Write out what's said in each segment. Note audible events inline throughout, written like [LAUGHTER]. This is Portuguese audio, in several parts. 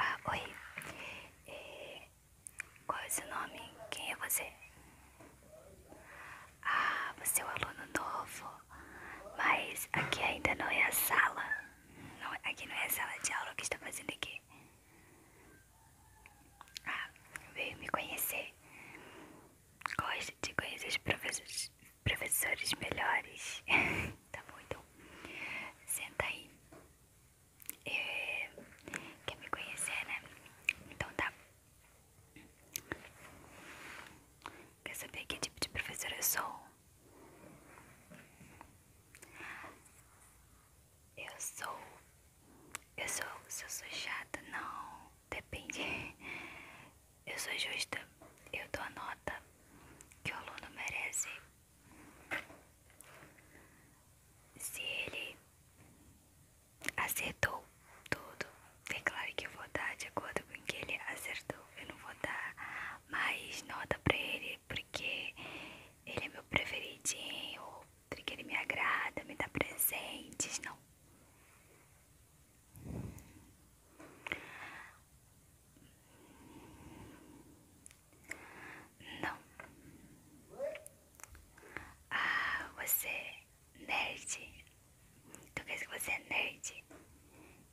Ah, oi. É, qual é o seu nome? Quem é você? Ah, você é um aluno novo, mas aqui ainda não é a sala. Não, aqui não é a sala de aula que está fazendo aqui. Ah, veio me conhecer gosto de conhecer os professores, melhores. [LAUGHS] tá bom, então senta aí. É, quer me conhecer, né? Então tá. Quer saber que tipo de professor eu sou? Eu sou. Eu sou. Se eu sou chata, não depende. Eu sou justa, eu dou a nota que o aluno merece. Se ele acertou tudo, é claro que eu vou dar de acordo com o que ele acertou. Eu não vou dar mais nota pra ele porque ele é meu preferidinho, porque ele me agrada, me dá presentes, não. Não. Ah, você nerd. Tu quer dizer que você é nerd?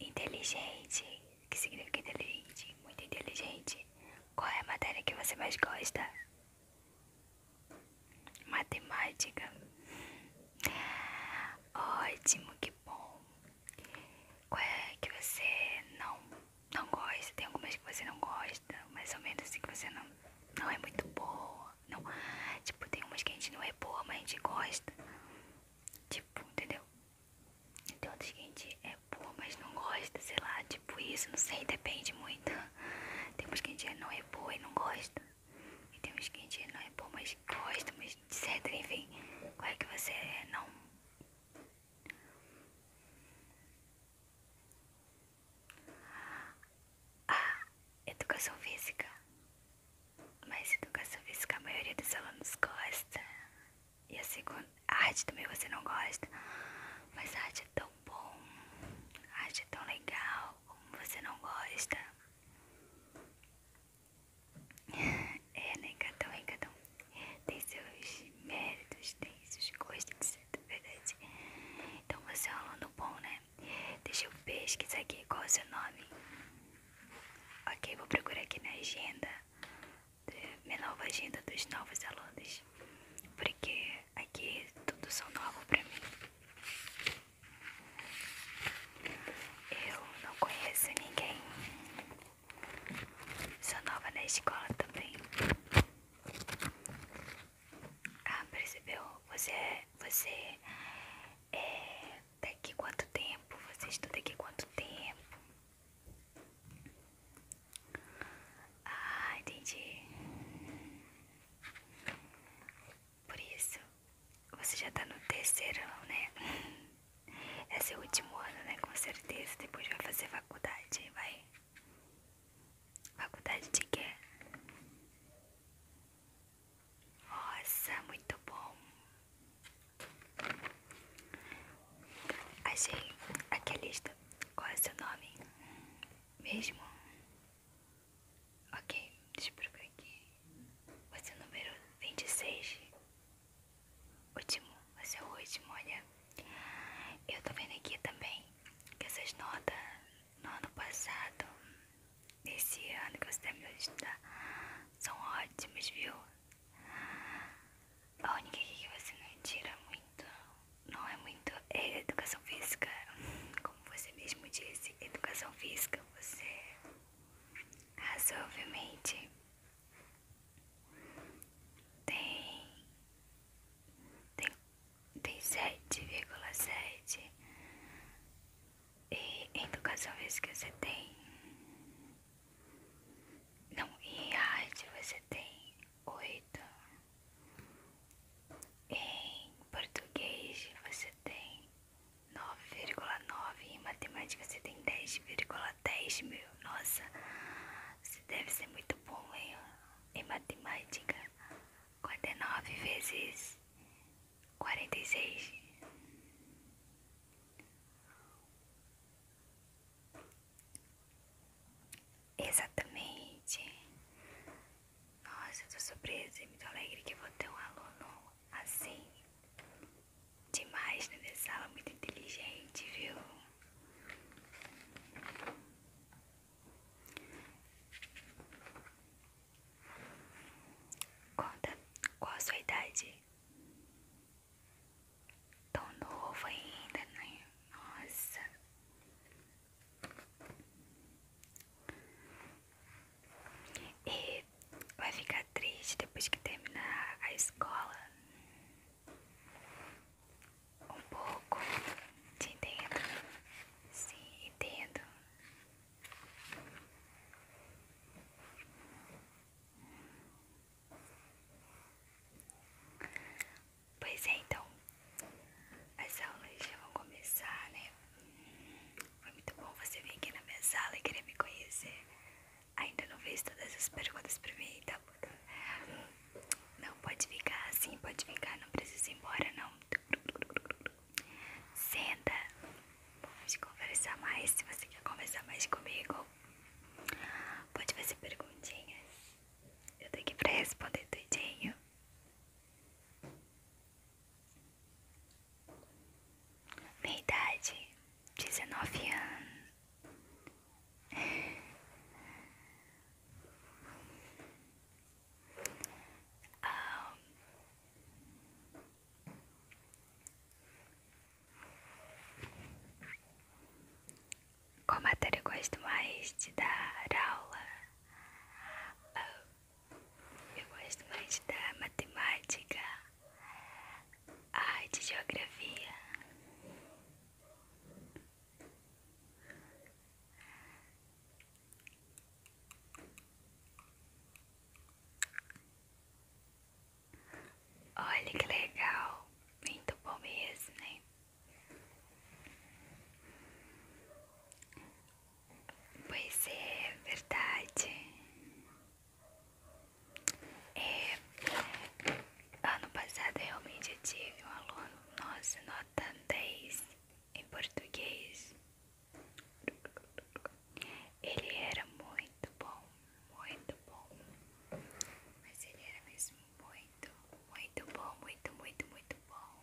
Inteligente. O que significa inteligente? Muito inteligente. Qual é a matéria que você mais gosta? Matemática. Ótimo, que bom. Qual é que você não, não gosta? Tem algumas que você não gosta, mais ou menos assim que você não, não é muito boa. Não. Tipo, tem umas que a gente não é boa, mas a gente gosta. Tipo, entendeu? Tem outras que a gente é boa, mas não gosta, sei lá, tipo isso, não sei, depende muito. Tem umas que a gente não é boa e não gosta. E tem uns que a não é bom, mas gosta, mas etc. Enfim, qual é que você é? não. Ah, educação física. Mas educação física a maioria dos alunos gosta. E a segunda. A arte também você não gosta. Mas a arte é tão bom. A arte é tão legal como você não gosta. [LAUGHS] É, né, cada um, é, tem seus méritos, tem seus gostos, etc, verdade. Então você é um aluno bom, né? Deixa eu pesquisar aqui qual é o seu nome. Ok, vou procurar aqui na agenda, minha nova agenda dos novos alunos, porque aqui tudo são novo pra mim. Eu não conheço ninguém. Sou nova na escola também. Ah, percebeu? Você, é, você é daqui quanto tempo? Você estuda daqui quanto tempo? Ah, entendi. Por isso, você já tá no terceirão, né? [LAUGHS] É seu último ano, né? Com certeza. Depois vai fazer faculdade, vai. Faculdade de quê? Nossa, muito bom. Achei aqui a lista. Qual é o seu nome? Mesmo? Ok, deixa eu aqui. Você é o número 26. Último, você é o último, olha. Eu tô vendo aqui também que essas notas no ano passado, nesse ano que você terminou de estudar, são ótimas, viu? A única que você não tira muito, não é muito, é educação física como você mesmo disse, educação física, você razoavelmente tem, tem, tem 7,7 e educação física você tem não, e arte você tem oito em português você tem 9,9 e em matemática você tem 10,10 10 mil. Nossa, você deve ser muito bom hein? em matemática. 49 vezes 46. Exatamente. Nossa, eu tô surpresa e é muito alegre que vou ter um aluno assim. Demais na né, minha sala, muito inteligente, viu? Conta qual a sua idade? Tão novo ainda, né? Nossa. E vai ficar triste depois que terminar a escola. Um pouco, te entendo. Sim, entendo. Pois é, então. Essa aula já vão começar, né? Foi muito bom você vir aqui na minha sala e querer me conhecer. Ainda não fez todas as perguntas pra mim, tá? bom? Não, pode ficar assim, pode ficar, não precisa ir embora, não. Senta, vamos conversar mais, se você quer conversar mais comigo. Pode fazer perguntinhas. Eu tô aqui pra responder tudinho. Minha idade, 19 anos. Como ah, qual matéria eu gosto mais de dar aula? Ah, eu gosto mais da matemática, arte, geografia. Olha que legal, muito bom mesmo, né? Pois é, verdade. É, é, ano passado realmente eu tive um aluno, nossa, nota 10 em português. Ele era muito bom, muito bom. Mas ele era mesmo muito, muito bom, muito, muito, muito bom.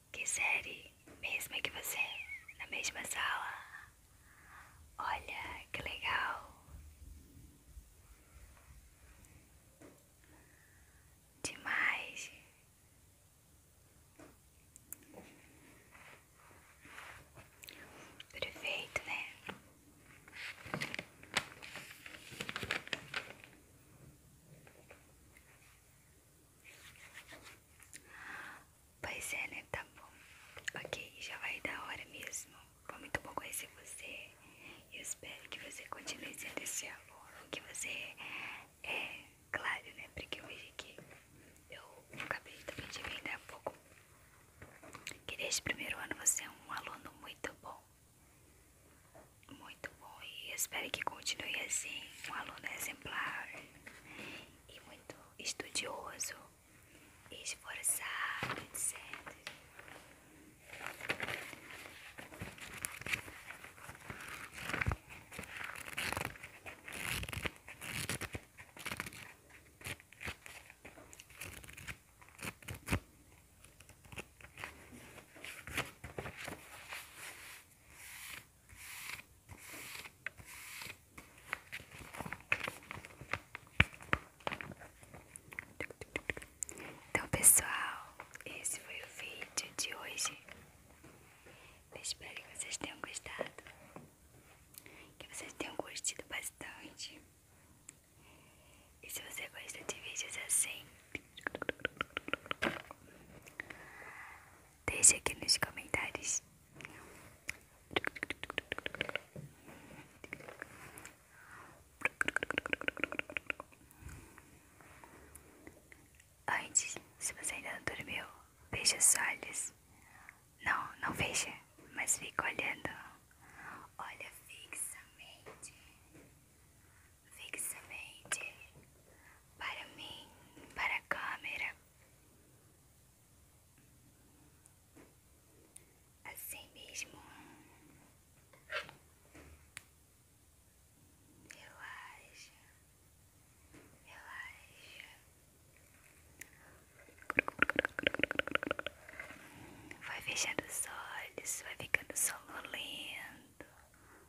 Que série, mesma que você, na mesma sala. Olha que legal. Demais. Perfeito, né? Pois é, né? Tá bom. Ok, já vai da hora mesmo. Foi muito bom conhecer você. Eu espero que você continue sendo esse aluno que você é, é, claro, né? Porque eu vejo que eu acabei também de vender há pouco. Que desde o primeiro ano você é um aluno muito bom. Muito bom e espero que continue assim, um aluno exemplar e muito estudioso, esforçado, etc. Então, pessoal, esse foi o vídeo de hoje. Eu espero que vocês tenham gostado. Que vocês tenham curtido bastante. E se você gosta de vídeos assim, Deixa aqui nos comentários. Antes, se você ainda não dormiu, veja os olhos. Não, não veja mas fique olhando. Olha fixamente fixamente para mim, para a câmera. Assim mesmo. Relaxa, relaxa. Vai fechando os olhos, vai ficando lindo